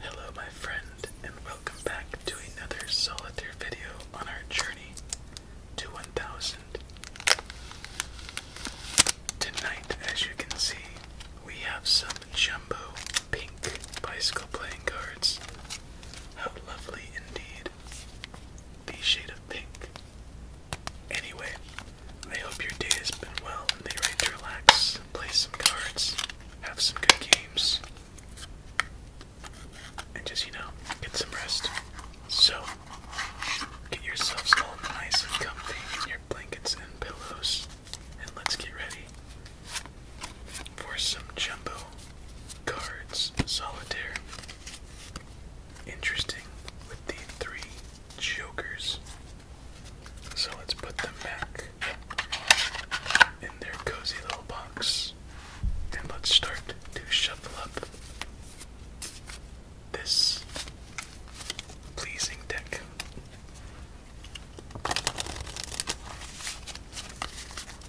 Hello, my friend, and welcome back to another solitaire video on our journey to 1000. Tonight, as you can see, we have some jumbo pink bicycle playing cards. How lovely indeed! The shade of pink. Anyway, I hope your day has been well and they you're ready to relax, play some cards, have some good games, and just, you know, get some rest. So, get yourselves all nice and comfy in your blankets and pillows, and let's get ready for some jumbo cards solitaire. Interesting with the three jokers so let's put them back in their cozy little box and let's start to shuffle up this pleasing deck.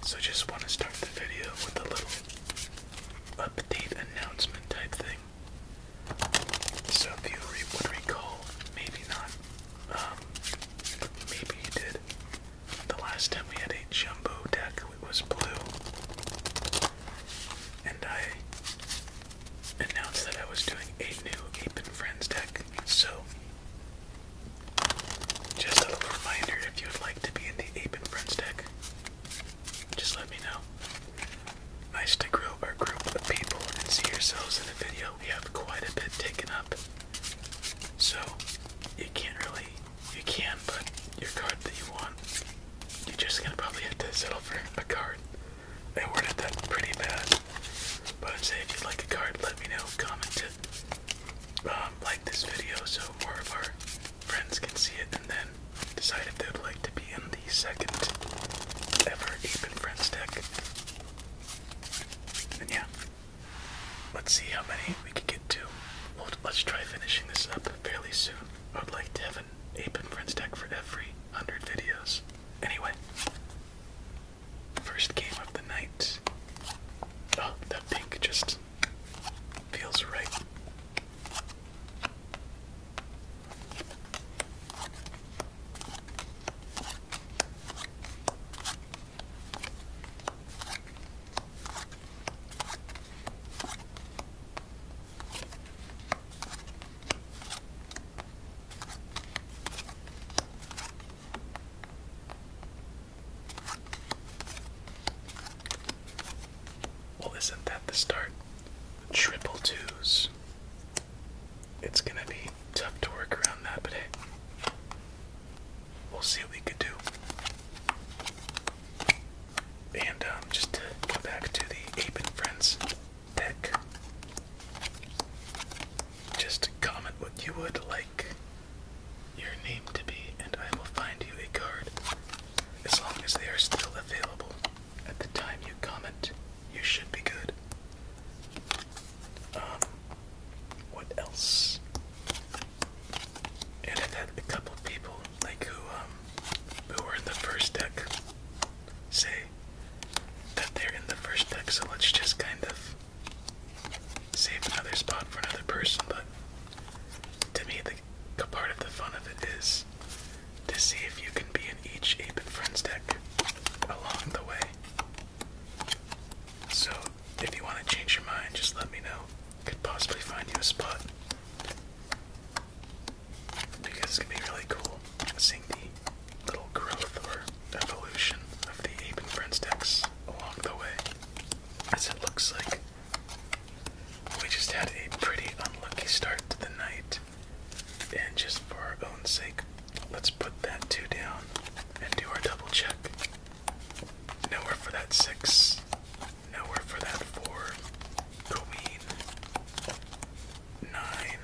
So just want to start the video with a little update announcement type thing. So if you would recall, maybe not, um, maybe you did. The last time we had a jumbo deck, it was blue. And I announced that I was doing a new Ape and Friends deck. So, just a little reminder if you would like to be in the Ape and Friends deck, just let me know. Nice to grow our group of people and see yourselves in a video. We have quite a bit taken up. So you can't really you can but your card that you want you're just gonna probably have to settle for a card. I worded that pretty bad. But I'd say if you'd like a card, let me know, comment it, um, like this video so more of our friends can see it and then decide if they would like to be in the second ever Ape and Friends deck. yeah, let's see how many we can get to. let's try finishing this up fairly soon. I would like to have an Ape and Friends deck for every 100 videos. Anyway, first game of the night. Oh, that pink just feels right. Well, isn't that the start? Triple twos. It's gonna be tough to work around that, but hey, we'll see what we could do. And um, just to go back to the Ape and Friends deck, just comment what you would like your name to be, and I will find you a card as long as they are still available. At the time you comment, you should be good. Um, what else? And i a couple people like who um who were in the first deck say that they're in the first deck, so let's just kind of save another spot for another person. But to me, the part of the fun of it is to see if you can be in each Ape and Friends deck along the way. So, if you want to change your mind, just let me know. Could possibly find you a spot. Because it's going to be really cool seeing the little growth or evolution of the Ape and Friends decks along the way. As it looks like we just had a pretty unlucky start to the night. And just for our own sake, let's put that two down and do our double check. Nowhere for that six. Nowhere for that four. Queen. Nine.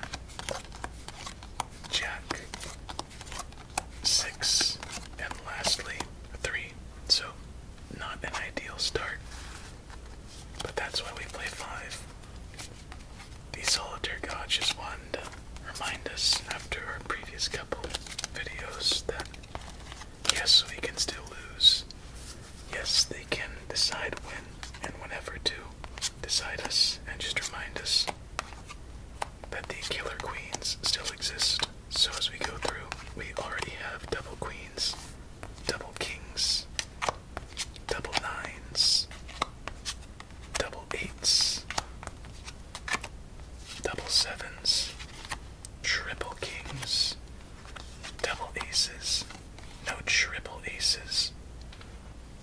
Jack. Six. And lastly, three. So, not an ideal start. But that's why we play five. The solitaire gods just want to remind us after our previous couple videos that yes, we can still lose. Yes, they can decide when and whenever to decide us and just remind us that the killer queens still exist. So as we go through, we already have double queens double kings, double nines, double eights, double sevens, triple kings, double aces, no triple aces.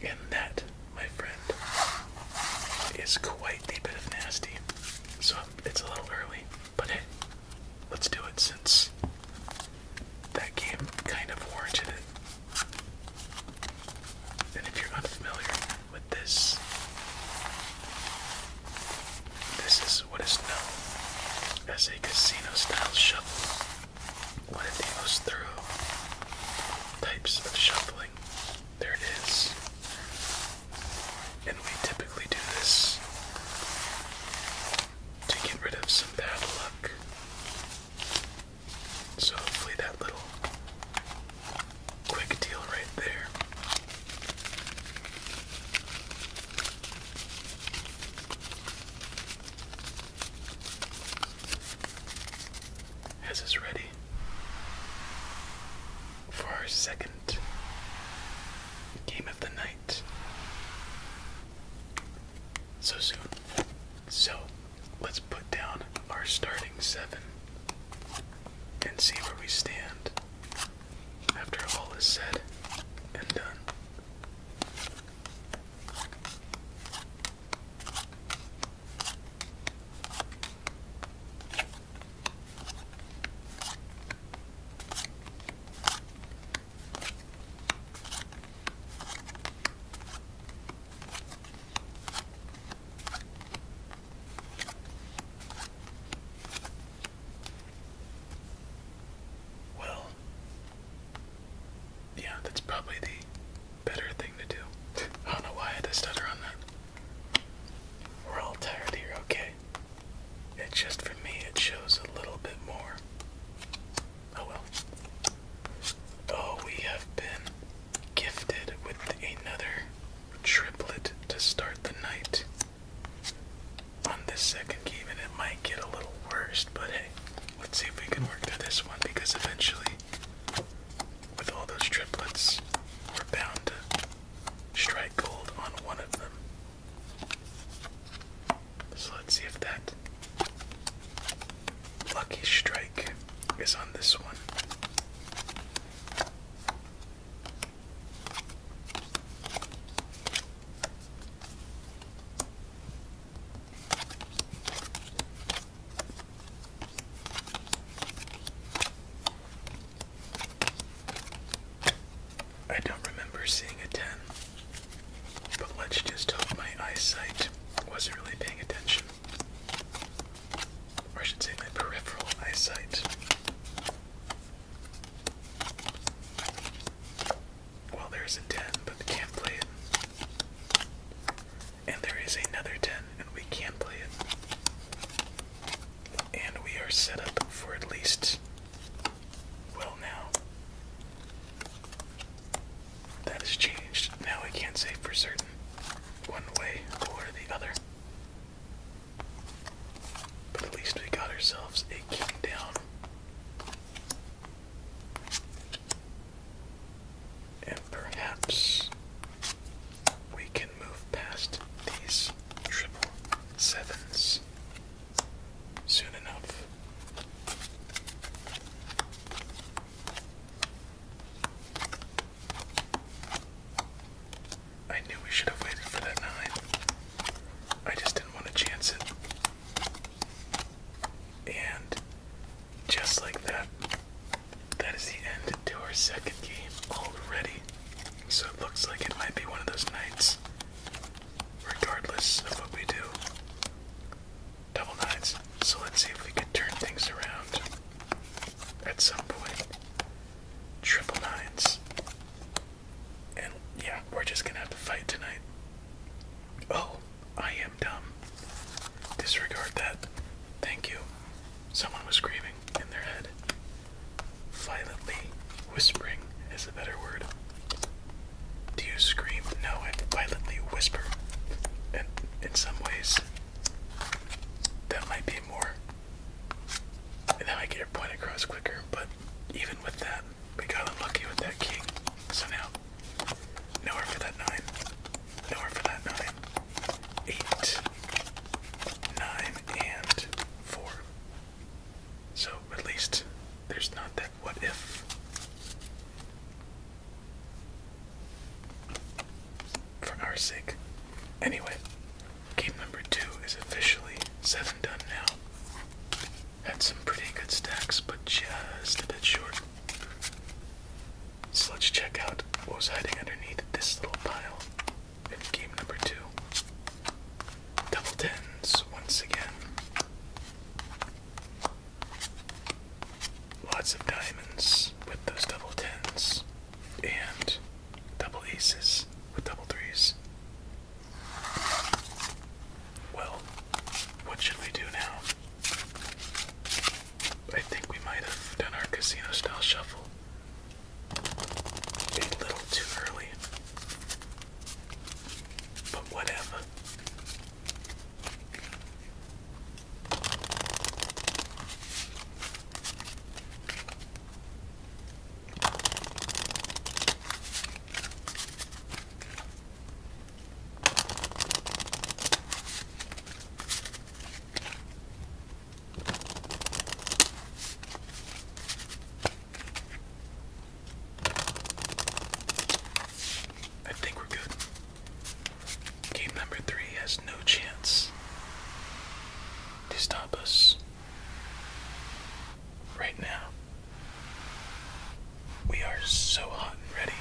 And that, my friend, is quite a bit of nasty. So it's a little early, but let's do it since that game kind of warranted it. And if you're unfamiliar with this, this is what is known as a casino style shuffle. One of the most thorough types of shuffling there it is. And we typically do this to get rid of some bad luck. So hopefully that little quick deal right there has us ready for our second game of the night so soon. So let's put down our starting seven and see where we stand after all is said and done. Well, yeah, that's probably the better thing to do. I don't know why I had to stutter on that. We're all tired here, okay? It's just for me, it shows a little bit more. Oh well. Oh, we have been gifted with another triplet to start the night on this second game, and it might get a little worst, but hey, let's see if we can work through this one because eventually, with all those triplets, we're bound to strike gold on one of them. So let's see if that lucky strike is on this one. I don't remember seeing a 10. But let's just hope my eyesight wasn't really paying attention. Or I should say my peripheral eyesight. Well, there's a 10, but we can't play it. And there is another 10, and we can play it. And we are set up for at least well, now that has changed. Now we can't say for certain one way or the other. But at least we got ourselves a king down. And perhaps we can move past these triple sevens soon enough. I knew we should have waited for that nine. I just didn't want to chance it. And just like that, that is the end to our second game already. So it looks like it might be one of those nights regardless of what we do. Double nines. So let's see if we can turn things around at some Triple nines. And yeah, we're just gonna have to fight tonight. Oh, I am dumb. Disregard that. Thank you. Someone was screaming in their head. Violently Whispering is a better word. Do you scream? No, I violently whisper. And in some ways, that might be more. And that might get your point across quicker, but even with that, we got unlucky with that king. So now, nowhere for that nine. Nowhere for that nine. Eight, nine, and four. So at least there's not that what if for our sake. Anyway, game number two is officially seven done now. Had some pretty good stacks, but just a bit short. So let's check out what was hiding underneath this little pile in game number two. Double tens once again. Lots of diamonds with those double tens and double aces with double threes. Well, what should we do now? I think we might have done our casino style shuffle a little too early. But whatever. I think we're good. Game number three has no chance to stop us right now. We are so hot and ready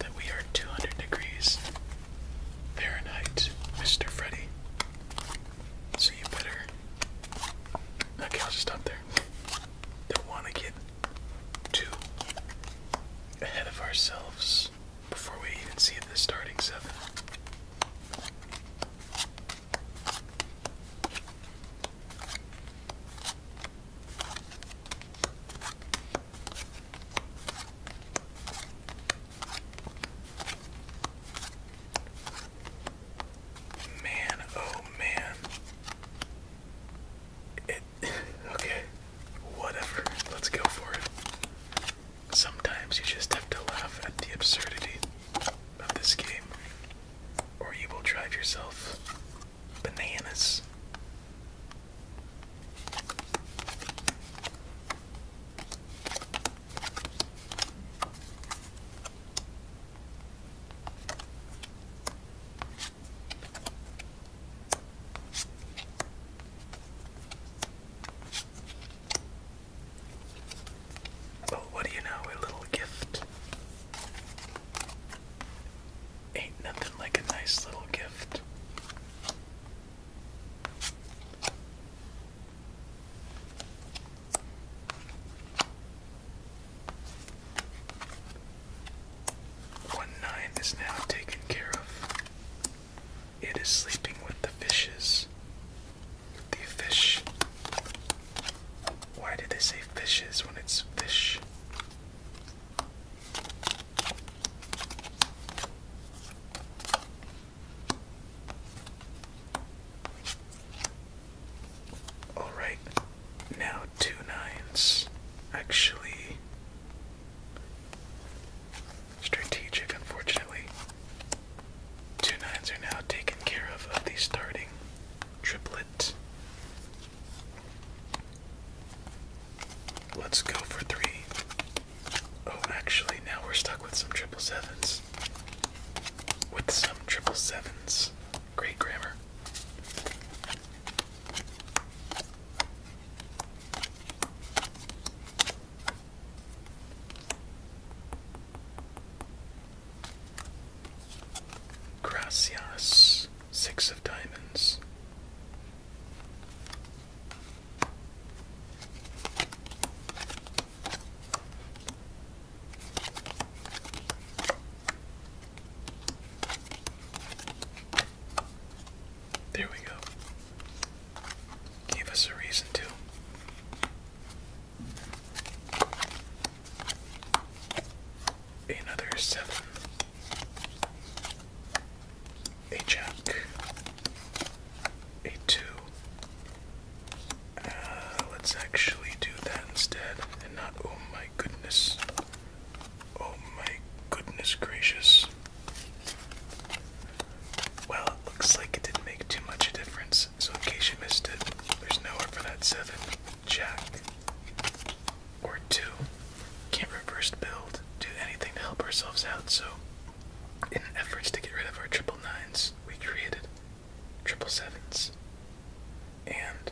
that we are 200 degrees Fahrenheit, Mr. Freddy. So you better. Okay, I'll just up there that want to get too ahead of ourselves before we even see the starting seven. Man, oh man, okay, whatever. Let's go for it. Sometimes you just have to laugh at the absurdity of this game, or you will drive yourself bananas. Oh, what do you know? A little gift. Ain't nothing like a nice little gift. One ninth is now taken care of. It is sleeping with the fishes. The fish. Why did they say fishes when it's fish? Alright, now two nines. Actually, strategic, unfortunately. Two nines are now taken care of of the starting triplet. Let's go for three. Oh, actually, now we're stuck with some triple sevens. With some triple sevens. Great grammar. Gracias, six of diamonds. There we go. Gave us a reason to. Another seven. A jack. A two. Uh, let's actually do that instead, and not. Oh my goodness. Oh my goodness gracious. Well, it looks like it didn't make too much a difference, so in case you missed it, there's nowhere for that 7, jack, or 2. Can't reverse build, do anything to help ourselves out, so in efforts to get rid of our triple nines, we created triple sevens, and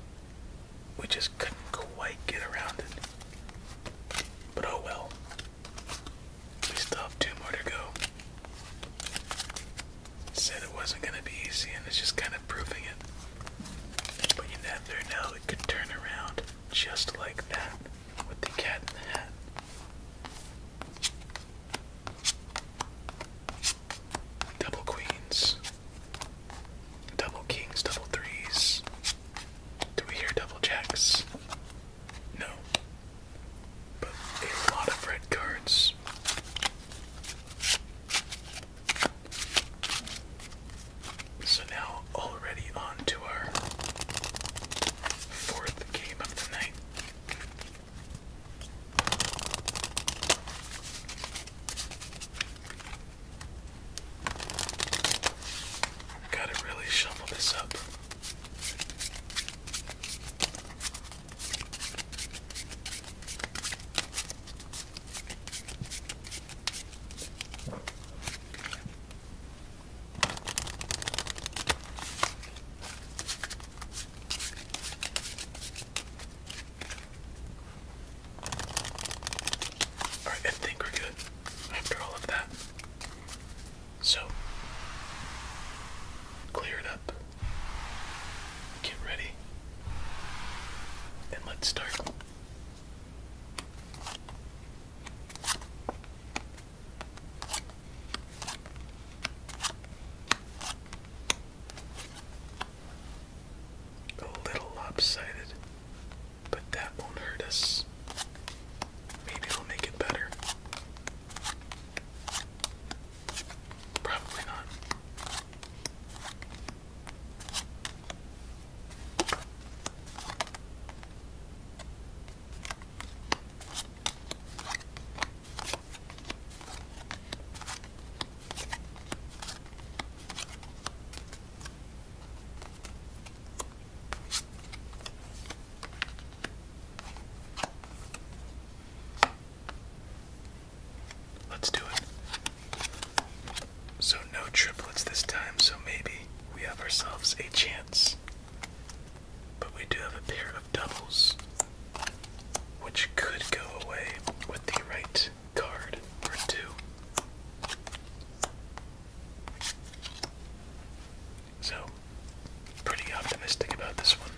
we just couldn't quite get around it. But oh well, we still have two more to go. Said it wasn't going to be easy, and it's just kind of proving it. But you never know, it could turn around just like that with the cat in the hat. Double queens. Double kings, double threes. Do we hear double jacks? No. But a lot of red cards. So now, already on to our fourth game of the night. Gotta really shovel this up. Alright, I think we're good after all of that. So, clear it up, get ready, and let's start. A little lopsided, but that won't hurt us. Maybe it'll make it better. Probably not. Let's do it. So, no triplets this time, so maybe we have ourselves a chance. But we do have a pair of doubles, which could go away with the right card or two. So, pretty optimistic about this one.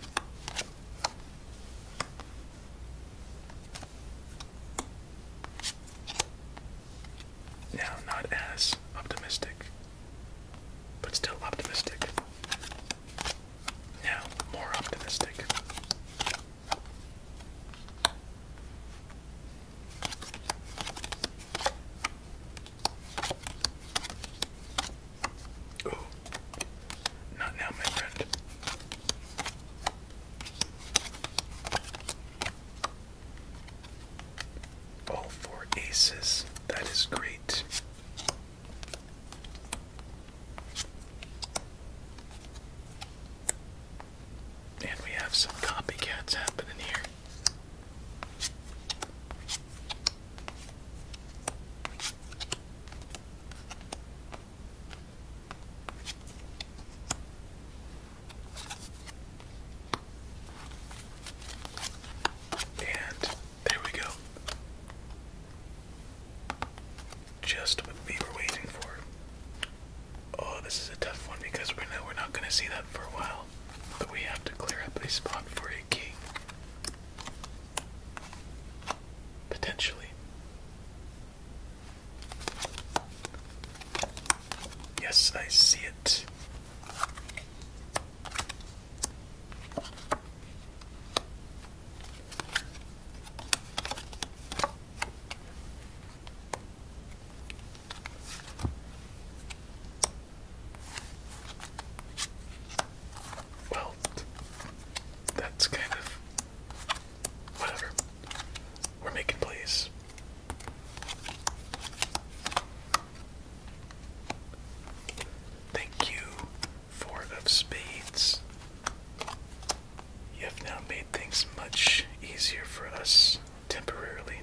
Now, not as optimistic, but still optimistic. Now, more optimistic. Oh, not now, my friend. All four aces. That is great. And we have some copycats happening here. And there we go. Just what we were waiting for. Oh, this is a tough one because we know we're not going to see that for a while. But we have to clear up a spot for a king. Potentially. Yes, I see it. Well, that's kind of whatever. We're making plays. Thank you, Four of Spades. You have now made things much easier for us temporarily.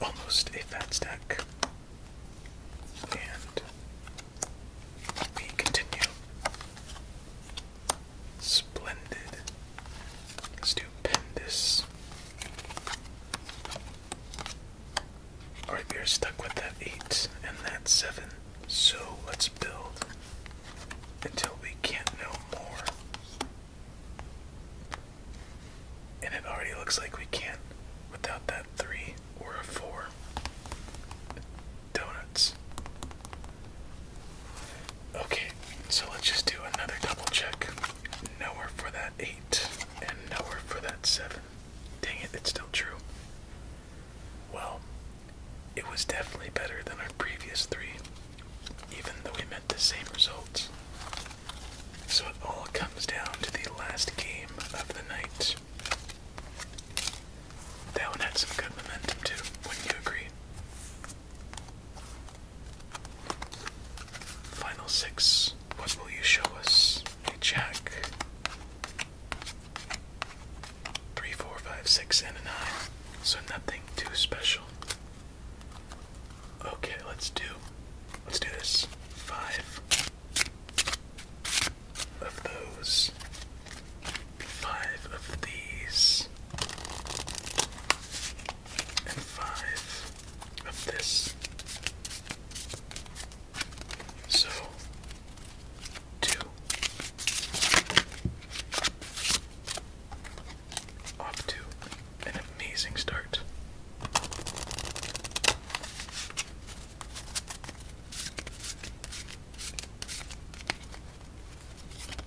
Almost a fat stack. And we continue. Splendid. Stupendous. Alright, we are stuck with that 8 and that 7. So let's build until we can't know more. And it already looks like we can't without that 3 or a 4 donuts. Okay, so let's just do another double check. Nowhere for that 8, and nowhere for that 7. Dang it, it's still true. Well, it was definitely better than our previous three, even though we met the same results. So it all comes down to the last game of the night. That one had some good momentum too, wouldn't you agree? Final six. What will you show us? A jack. Three, four, five, six, and a nine. So nothing too special. Okay, let's do let's do this. Five of those five of these, and five of this. So, two. Off to an amazing start.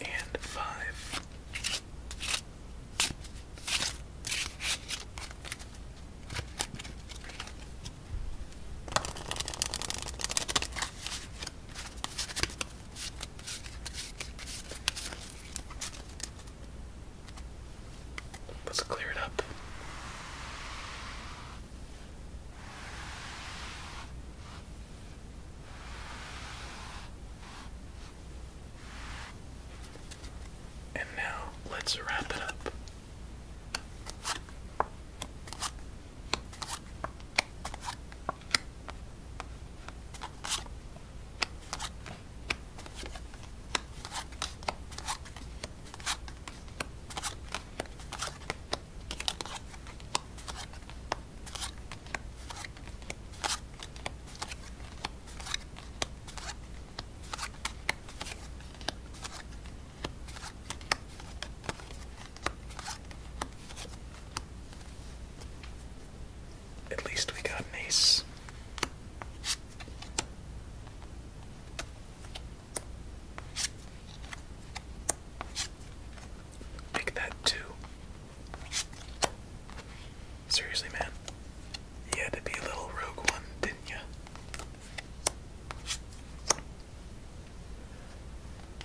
and five. Let's clear it up. And now let's wrap it up. At least we got an ace. Make that two. Seriously, man. You had to be a little rogue one, didn't you?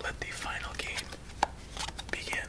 Let the final game begin.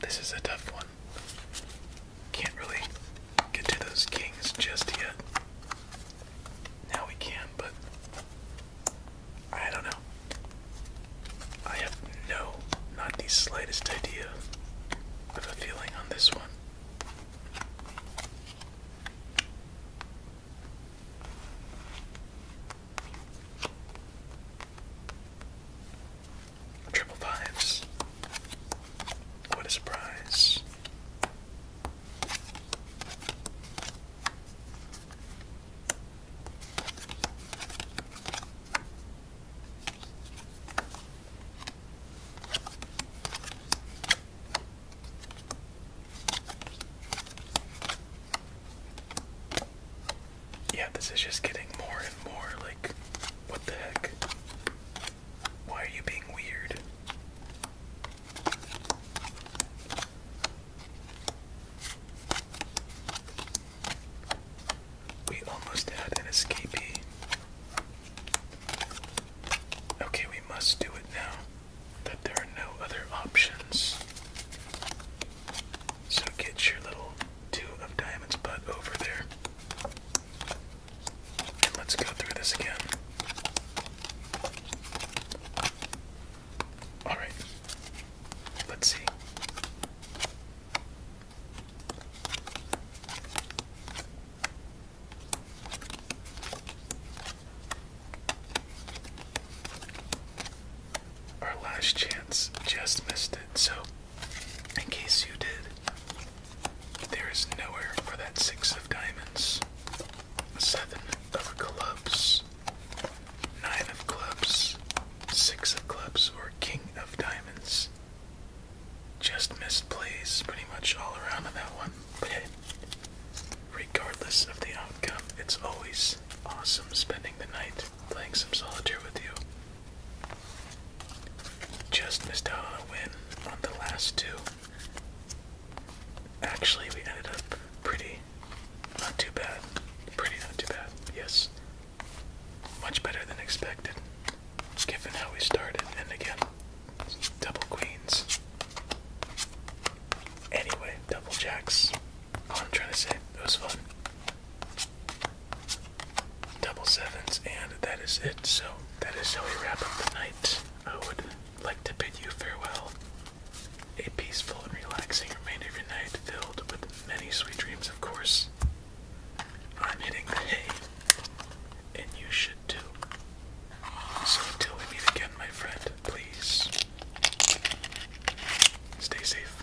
This is a tough one. Can't really get to those kings just yet. Now we can, but I don't know. I have no, not the slightest idea of a feeling on this one. Triple fives. What a surprise. Yeah, this is just getting more and more what the heck? Why are you being weird? We almost had an escapee. Okay, we must do it now that there are no other options. So get your little two of diamonds butt over there let's go through this again. Alright, let's see. Our last chance just missed it, so in case you did, there is nowhere for that six of diamonds, seven of clubs, nine of clubs, six of clubs, or king of diamonds. Just missed plays pretty much all around on that one, but regardless of the outcome, it's always awesome spending the night playing some solitaire with you. Just missed out on a win on the last two. Actually, we ended up pretty, not too bad. Pretty, not too bad, yes. Much better than expected, given how we started. And again, double queens. Anyway, double jacks. All I'm trying to say, it was fun double sevens, and that is it. So that is how we wrap up the night. I would like to bid you farewell. A peaceful and relaxing remainder of your night, filled with many sweet dreams, of course. I'm hitting the hay, and you should too. So until we meet again, my friend, please stay safe.